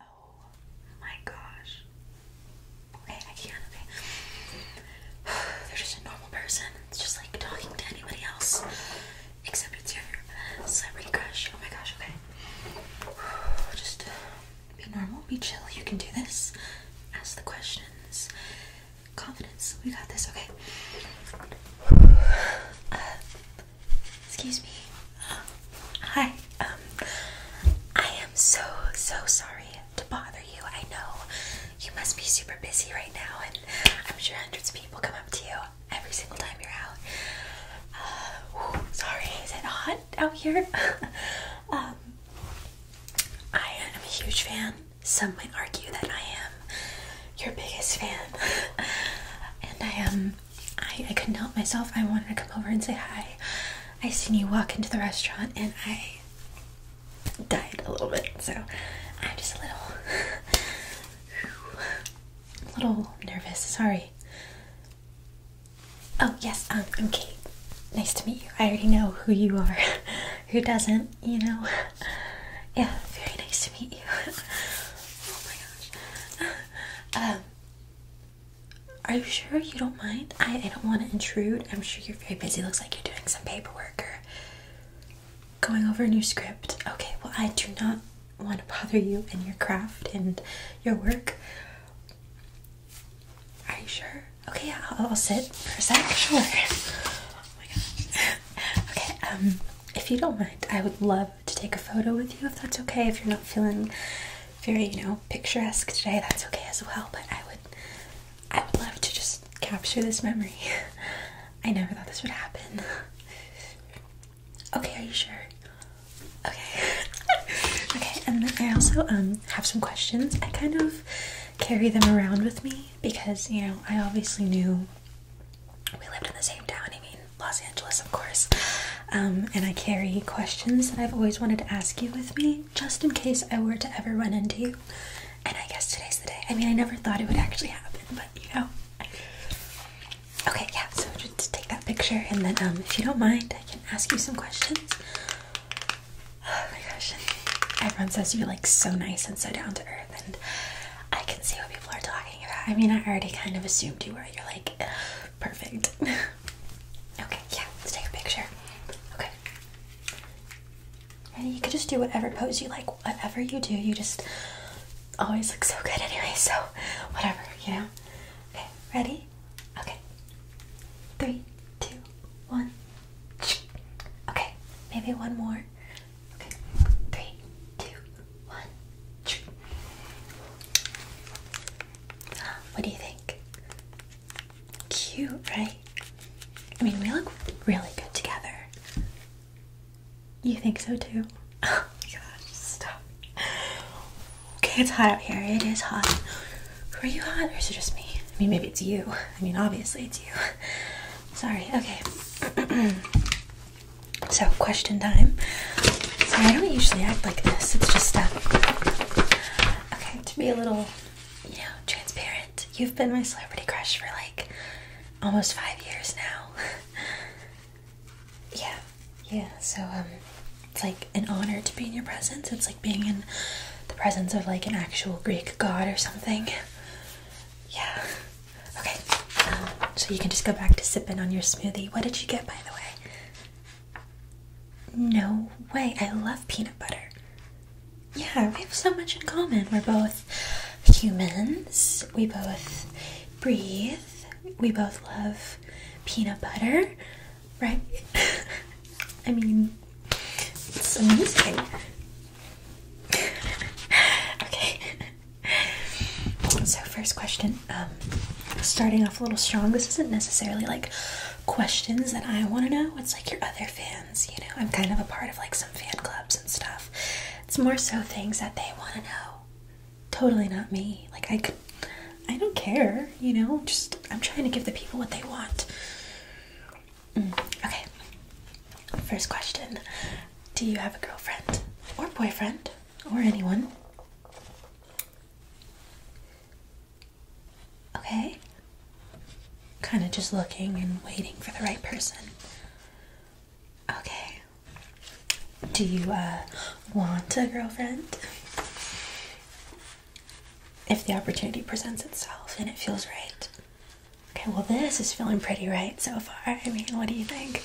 Oh my gosh. Okay, I can't, okay. They're just a normal person. It's just like talking to anybody else. Except it's your celebrity crush. Oh my gosh, okay. Just uh, be normal, be chill. You can do this. Ask the questions. Confidence. We got this, okay. Uh, Excuse me. Uh, hi. Um, I am so, so sorry to bother you. I know you must be super busy right now, and I'm sure hundreds of people come up to you every single time you're out. Uh, ooh, sorry, is it hot out here? um, I am a huge fan. Some might argue that I am your biggest fan, and I am I, couldn't help myself. I wanted to come over and say hi. I seen you walk into the restaurant and I died a little bit, so I'm just a little, a little nervous. Sorry. Oh yes, um, I'm Kate. Nice to meet you. I already know who you are. who doesn't, you know? Yeah, very nice to meet you. oh my gosh. Um, are you sure you don't mind? I, don't want to intrude. I'm sure you're very busy. Looks like you're doing some paperwork or going over a new script. Okay, well, I do not want to bother you and your craft and your work. Are you sure? Okay, yeah, I'll, sit for a sec. Sure. Oh okay, um, if you don't mind, I would love to take a photo with you if that's okay. If you're not feeling very, you know, picturesque today, that's okay as well. But I would, I would love to just capture this memory. I never thought this would happen. Okay, are you sure? Okay. okay, and then I also um have some questions. I kind of carry them around with me because you know I obviously knew we lived in the same town. I mean, Los Angeles, of course. Um, and I carry questions that I've always wanted to ask you with me, just in case I were to ever run into you. And I guess today's the day. I mean, I never thought it would actually happen, but you know. Okay, yeah, so just take that picture, and then um, if you don't mind, I can ask you some questions. Oh my gosh. Everyone says you're like so nice and so down to earth, and I can see what people are talking about. I mean, I already kind of assumed you were. You're like Perfect. okay, yeah, let's take a picture. Okay. Ready? You could just do whatever pose you like. Whatever you do, you just always look so good anyway, so whatever, you know? Okay, ready? Okay. Three, two, one. Okay, maybe one more. Okay, three, two, one, two. What do you think? Cute, right? I mean, we look really good together. You think so too? Oh my gosh, stop. Okay, it's hot out here. It is hot. Are you hot or is it just me? I mean, maybe it's you. I mean, obviously it's you. Sorry, okay. So, question time. So, I don't usually act like this. It's just, uh, okay, to be a little, you know, transparent, you've been my celebrity crush for like almost five years now. yeah, yeah. So, um, it's like an honor to be in your presence. It's like being in the presence of like an actual Greek god or something. Yeah. Okay. Um, so you can just go back to sipping on your smoothie. What did you get, by the way? No way. I love peanut butter. Yeah, we have so much in common. We're both humans. We both breathe. We both love peanut butter, right? I mean, it's amazing. okay. so first question um, starting off a little strong this isn't necessarily like questions that i want to know it's like your other fans you know i'm kind of a part of like some fan clubs and stuff it's more so things that they want to know totally not me like i could i don't care you know just i'm trying to give the people what they want mm, okay first question do you have a girlfriend or boyfriend or anyone Okay? Kind of just looking and waiting for the right person. Okay. Do you uh, want a girlfriend? If the opportunity presents itself and it feels right. Okay, well, this is feeling pretty right so far. I mean, what do you think?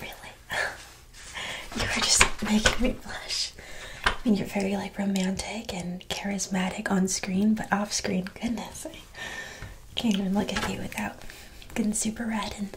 Really? you are just making me blush. I mean, you're very like romantic and charismatic on screen, but off screen, goodness, I can't even look at you without getting super red and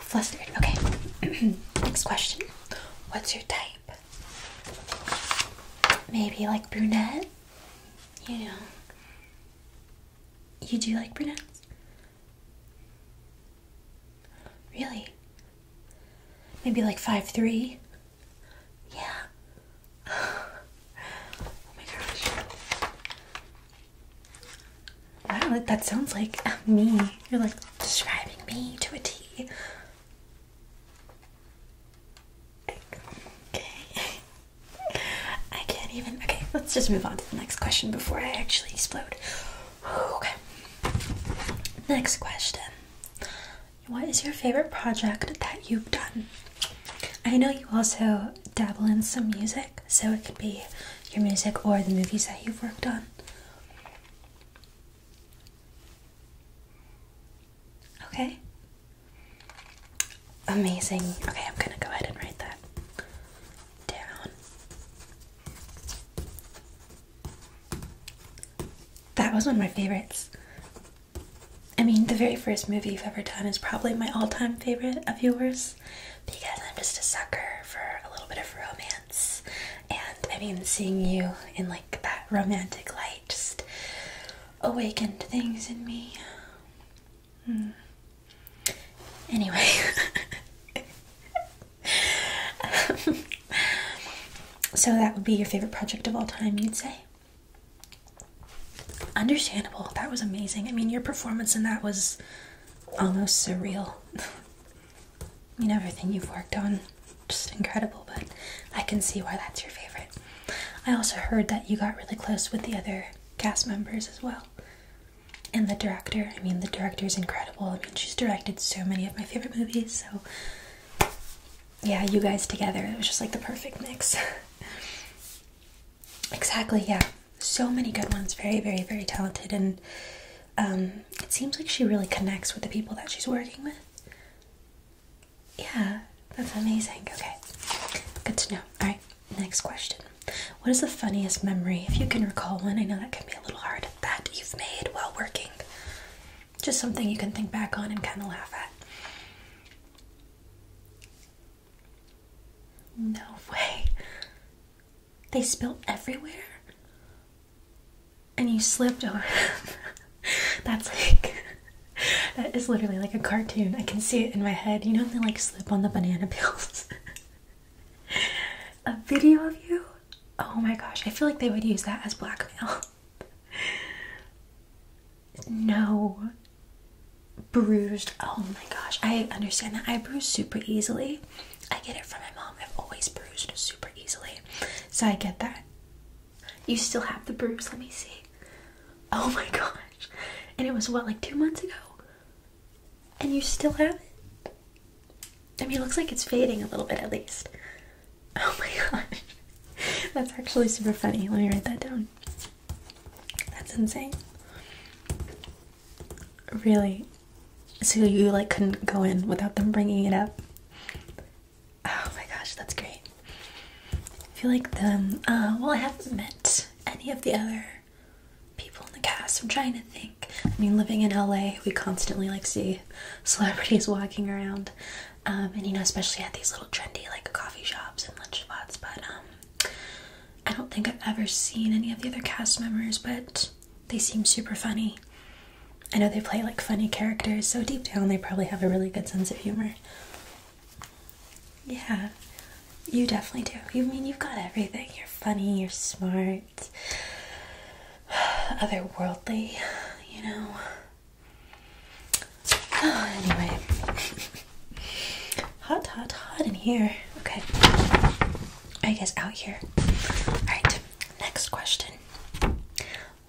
flustered. Okay, next question. What's your type? Maybe like brunette? You know. You do like brunettes? Really? Maybe like five three? Yeah. oh my gosh. Wow, that sounds like me. You're like describing me to a T. Okay. I can't even. Okay, let's just move on to the next question before I actually explode. Okay. Next question. What is your favorite project that you've done? I know you also dabble in some music, so it could be your music or the movies that you've worked on. Okay. Amazing. Okay, I'm gonna go ahead and write that. That was one of my favorites. I mean, the very first movie you've ever done is probably my all time favorite of yours because I'm just a sucker for a little bit of romance. And I mean, seeing you in like that romantic light just awakened things in me. Hmm. Anyway, so that would be your favorite project of all time, you'd say? Understandable. That was amazing. I mean, your performance in that was almost surreal. I mean, everything you've worked on, just incredible, but I can see why that's your favorite. I also heard that you got really close with the other cast members as well and the director. I mean, the director is incredible. I mean, she's directed so many of my favorite movies, so yeah, you guys together. It was just like the perfect mix. exactly, yeah. So many good ones. Very, very, very talented. And um, it seems like she really connects with the people that she's working with. Yeah, that's amazing. Okay, good to know. All right, Next question. What is the funniest memory, if you can recall one? I know that can be a little hard, that you've made while working. Just something you can think back on and kind of laugh at. No way. They spilled everywhere? And you slipped over That's like. That is literally like a cartoon. I can see it in my head. You know, they like slip on the banana peels. a video of you? Oh my gosh, I feel like they would use that as blackmail. no. Bruised. Oh my gosh, I understand that. I bruise super easily. I get it from my mom. I've always bruised super easily. So I get that. You still have the bruise, let me see. Oh my gosh. And it was what, like two months ago? And you still have it? I mean, it looks like it's fading a little bit at least. Oh my gosh. That's actually super funny. Let me write that down. That's insane. Really? So you like couldn't go in without them bringing it up? Oh my gosh, that's great. I feel like the, um, uh, well, I haven't met any of the other people in the cast. I'm trying to think. I mean, living in LA, we constantly like see celebrities walking around, um, and you know, especially at these little trendy like coffee shops and lunch spots. But um, I don't think I've ever seen any of the other cast members, but they seem super funny. I know they play like funny characters, so deep down they probably have a really good sense of humor. Yeah, you definitely do. You mean you've got everything. You're funny, you're smart, otherworldly, you know. Oh, anyway, hot, hot, hot in here. Okay, I guess out here. All right, next question.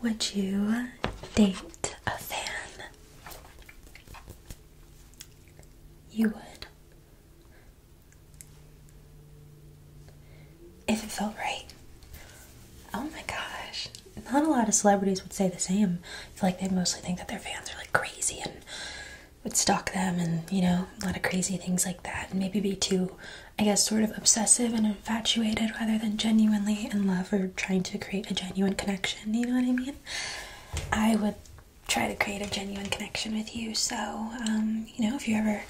Would you date a fan? You would. If it felt right. Oh my gosh. Not a lot of celebrities would say the same. I feel like they mostly think that their fans are like crazy and would stalk them and, you know, a lot of crazy things like that. And maybe be too, I guess, sort of obsessive and infatuated rather than genuinely in love or trying to create a genuine connection. You know what I mean? I would try to create a genuine connection with you. So, um, you know, if you're ever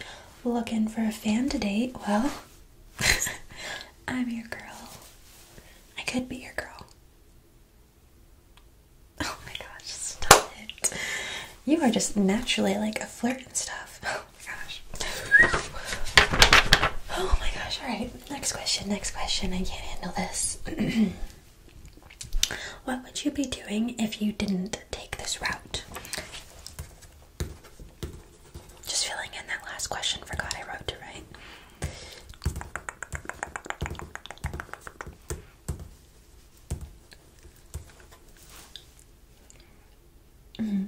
looking for a fan to date, well, I'm your girl. I could be your girl. Oh my gosh, stop it. You are just naturally like a flirt and stuff. Oh my gosh. Oh my gosh, alright. Next question, next question. I can't handle this. What would you be doing if you didn't take this route? Just filling in that last question, forgot I wrote to write. Mm-hmm.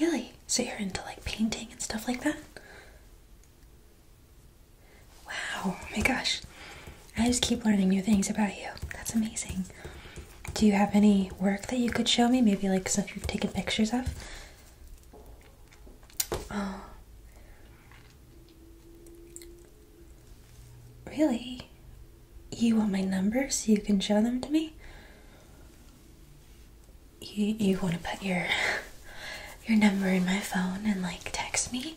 Really? So you're into like painting and stuff like that? Wow, oh my gosh. I just keep learning new things about you. That's amazing. Do you have any work that you could show me? Maybe like stuff you've taken pictures of? Oh. Really? You want my number so you can show them to me? you you want to put your your number in my phone and like text me?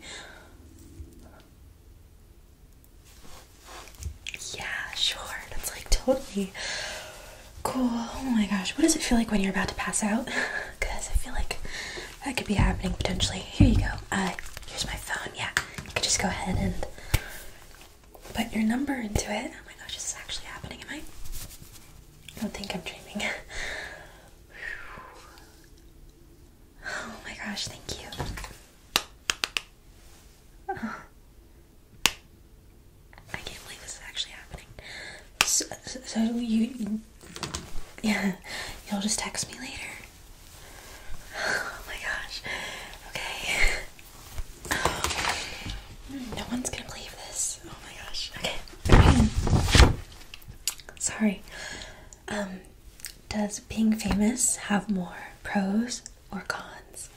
Yeah, sure. That's like totally cool. Oh my gosh, what does it feel like when you're about to pass out? Because I feel like that could be happening potentially. Here you go. Uh, here's my phone. Yeah, you could just go ahead and put your number into it. Oh my gosh, this is actually happening, am I? I don't think I'm dreaming. Oh my gosh, thank you. I can't believe this is actually happening. So, so you, yeah, you'll just text me later. Oh my gosh. Okay. No one's gonna believe this. Oh my gosh. Okay. Sorry. Um, does being famous have more pros or cons?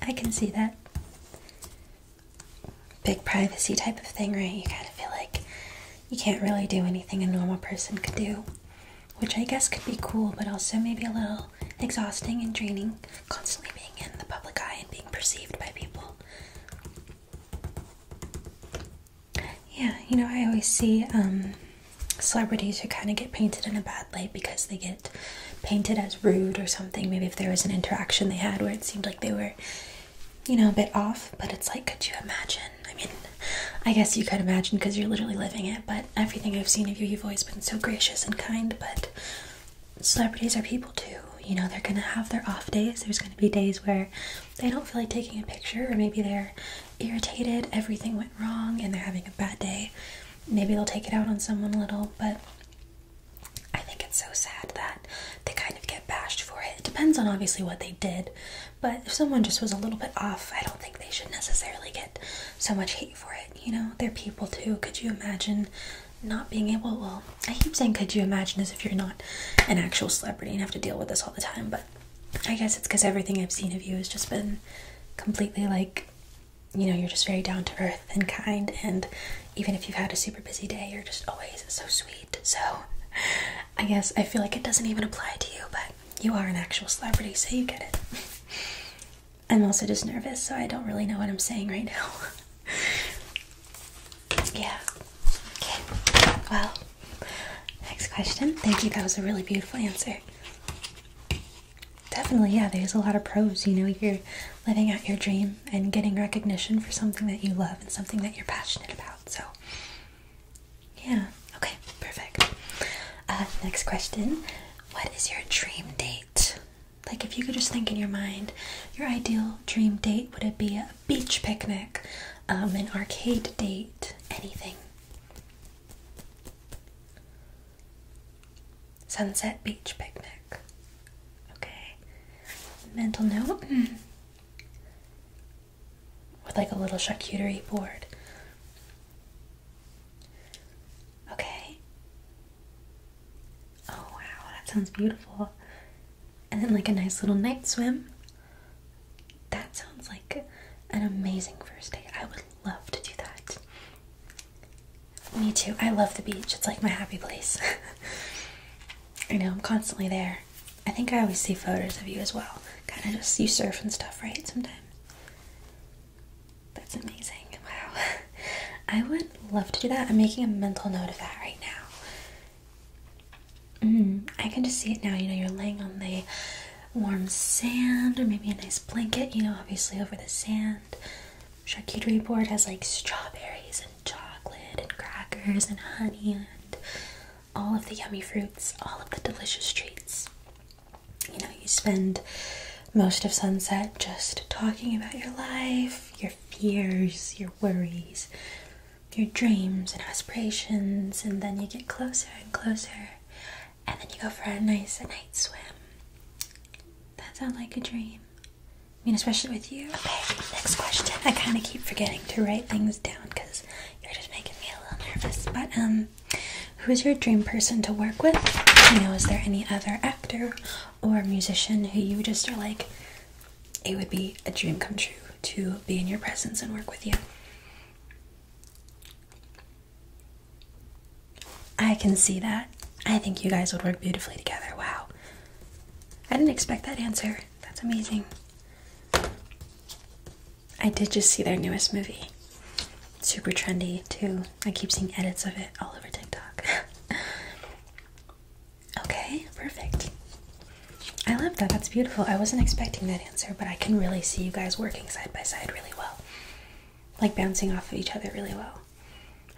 I can see that. Big privacy type of thing, right? You kind of feel like you can't really do anything a normal person could do, which I guess could be cool, but also maybe a little exhausting, and draining, constantly being in the public eye and being perceived by people. Yeah, you know, I always see um, celebrities who kind of get painted in a bad light because they get painted as rude or something. Maybe if there was an interaction they had where it seemed like they were, you know, a bit off, but it's like, could you imagine? I mean, I guess you could imagine because you're literally living it, but everything I've seen of you, you've always been so gracious and kind, but celebrities are people too. You know, they're gonna have their off days. There's gonna be days where they don't feel like taking a picture, or maybe they're irritated, everything went wrong, and they're having a bad day. Maybe they'll take it out on someone a little, but I think it's so sad that they kind of get bashed for it. It depends on obviously what they did, but if someone just was a little bit off, I don't think they should necessarily get so much hate for it. You know, they're people too. Could you imagine not being able? Well, I keep saying, could you imagine as if you're not an actual celebrity and have to deal with this all the time? But I guess it's because everything I've seen of you has just been completely like, you know, you're just very down to earth and kind. And even if you've had a super busy day, you're just always so sweet. So I guess I feel like it doesn't even apply to you, but you are an actual celebrity, so you get it. I'm also just nervous, so I don't really know what I'm saying right now. yeah. Okay. Well, next question. Thank you. That was a really beautiful answer. Definitely, yeah, there's a lot of pros. You know, you're living out your dream and getting recognition for something that you love and something that you're passionate about. So, yeah, okay, perfect. Uh, next question What is your dream date? Like, if you could just think in your mind, your ideal dream date would it be a beach picnic, um, an arcade date, anything? Sunset beach picnic. Okay. Mental note hmm. with like a little charcuterie board. Okay. Oh wow, that sounds beautiful. And then like a nice little night swim. That sounds like an amazing first date. I would love to do that. Me too. I love the beach. It's like my happy place. I know I'm constantly there. I think I always see photos of you as well. Kind of just you surf and stuff, right? Sometimes. That's amazing. Wow. I would love to do that. I'm making a mental note of that right now. Mm, I can just see it now. You know, you're laying on the warm sand or maybe a nice blanket, you know, obviously over the sand. Charcuterie board has like strawberries and chocolate and crackers and honey and all of the yummy fruits, all of the delicious treats you know, you spend most of sunset just talking about your life, your fears, your worries, your dreams and aspirations, and then you get closer and closer, and then you go for a nice night swim. That sounds like a dream. I mean, especially with you. Okay, next question. I kind of keep forgetting to write things down because you're just making me a little nervous. But, um, Who's your dream person to work with? You know, is there any other actor or musician who you just are like, it would be a dream come true to be in your presence and work with you? I can see that. I think you guys would work beautifully together. Wow. I didn't expect that answer. That's amazing. I did just see their newest movie. Super trendy, too. I keep seeing edits of it all over TikTok. okay, perfect. I love that. That's beautiful. I wasn't expecting that answer, but I can really see you guys working side by side really well. Like bouncing off of each other really well.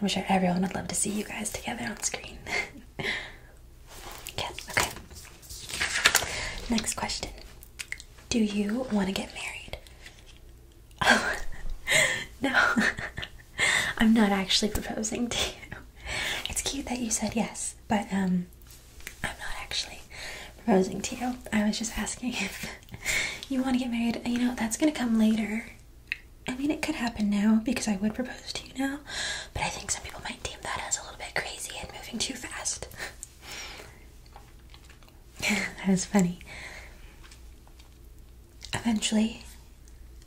I'm sure everyone would love to see you guys together on screen. yeah, okay. Next question Do you want to get married? no, I'm not actually proposing to you. It's cute that you said yes, but um, I'm not actually proposing to you. I was just asking if you want to get married. You know, that's gonna come later. I mean, it could happen now because I would propose to you now, but I think some people might deem that as a little bit crazy and moving too fast. that was funny. Eventually,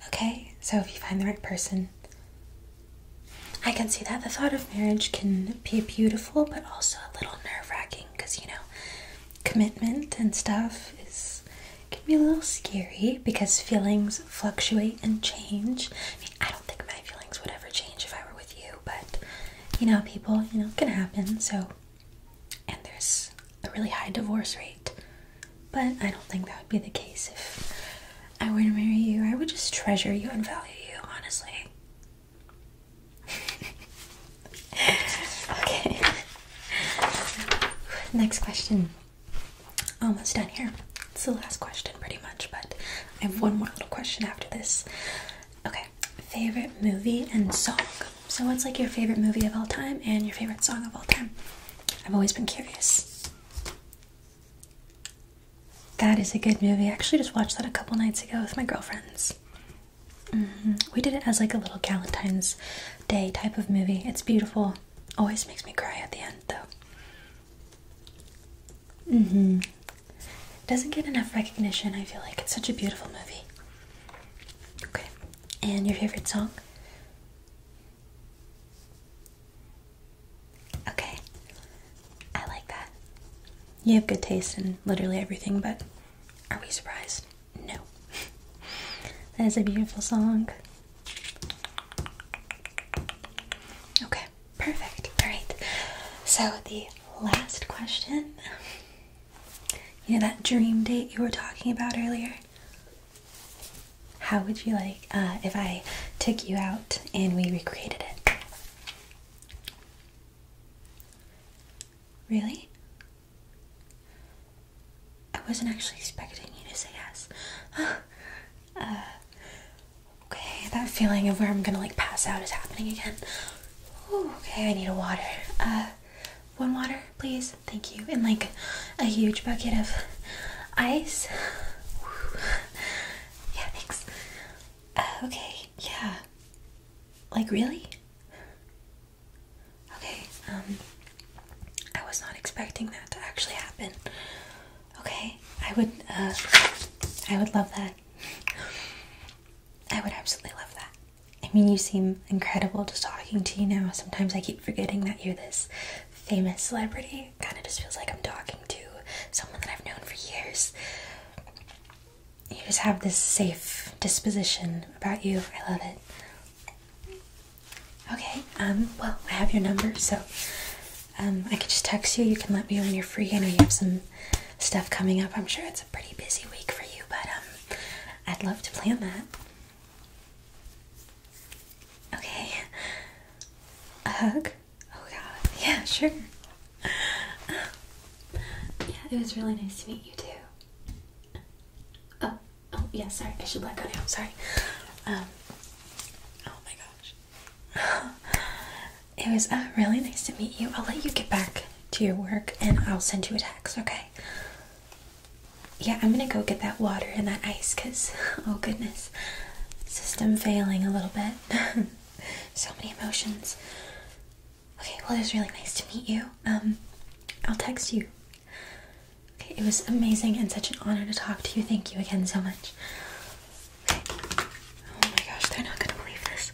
okay, so if you find the right person, I can see that the thought of marriage can be beautiful but also a little nerve wracking because you know, commitment and stuff is can be a little scary because feelings fluctuate and change. I mean, I don't think my feelings would ever change if I were with you, but you know, people, you know, it can happen, so and there's a really high divorce rate. But I don't think that would be the case if I were to marry you. I would just treasure you and value you, honestly. okay. Next question. Almost done here. It's the last question, pretty much, but I have one more little question after this. Okay, favorite movie and song. So, what's like your favorite movie of all time and your favorite song of all time? I've always been curious. That is a good movie. actually just watched that a couple nights ago with my girlfriends. Mm-hmm. We did it as like a little Galentine's Day type of movie. It's beautiful. Always makes me cry at the end, though. Mm hmm Doesn't get enough recognition. I feel like it's such a beautiful movie. Okay. And your favorite song? Okay. I like that. You have good taste in literally everything, but are we surprised? No. that is a beautiful song. Okay, perfect. All right. So the last question you know that dream date you were talking about earlier? How would you like uh, if I took you out and we recreated it? Really? I wasn't actually expecting you to say yes. Uh, okay, that feeling of where I'm gonna like pass out is happening again. okay, I need a water. Uh, one water, please. Thank you. And like a huge bucket of ice. Yeah, thanks. Uh, okay, yeah. Like, really? Okay, um, I was not expecting that to actually happen. Okay, I would, uh, I would love that. I would absolutely love that. I mean, you seem incredible just talking to you now. Sometimes I keep forgetting that you're this famous celebrity. Kind of just feels like I'm talking to someone that I've known for years. You just have this safe disposition about you. I love it. Okay, um, well, I have your number, so um, I could just text you. You can let me know when you're free. I know you have some stuff coming up. I'm sure it's a pretty busy week for you, but um, I'd love to plan that. Okay. A hug? Oh god. Yeah, sure. Um, yeah, it was really nice to meet you too. Oh, oh yeah, sorry. I should let go now. Sorry. Um Oh my gosh. It was uh, really nice to meet you. I'll let you get back to your work and I'll send you a text, okay? Yeah, I'm gonna go get that water and that ice because, oh goodness, system failing a little bit. so many emotions. Okay, well, it was really nice to meet you. Um, I'll text you. Okay, it was amazing and such an honor to talk to you. Thank you again so much. Okay. Oh my gosh, they're not gonna believe this.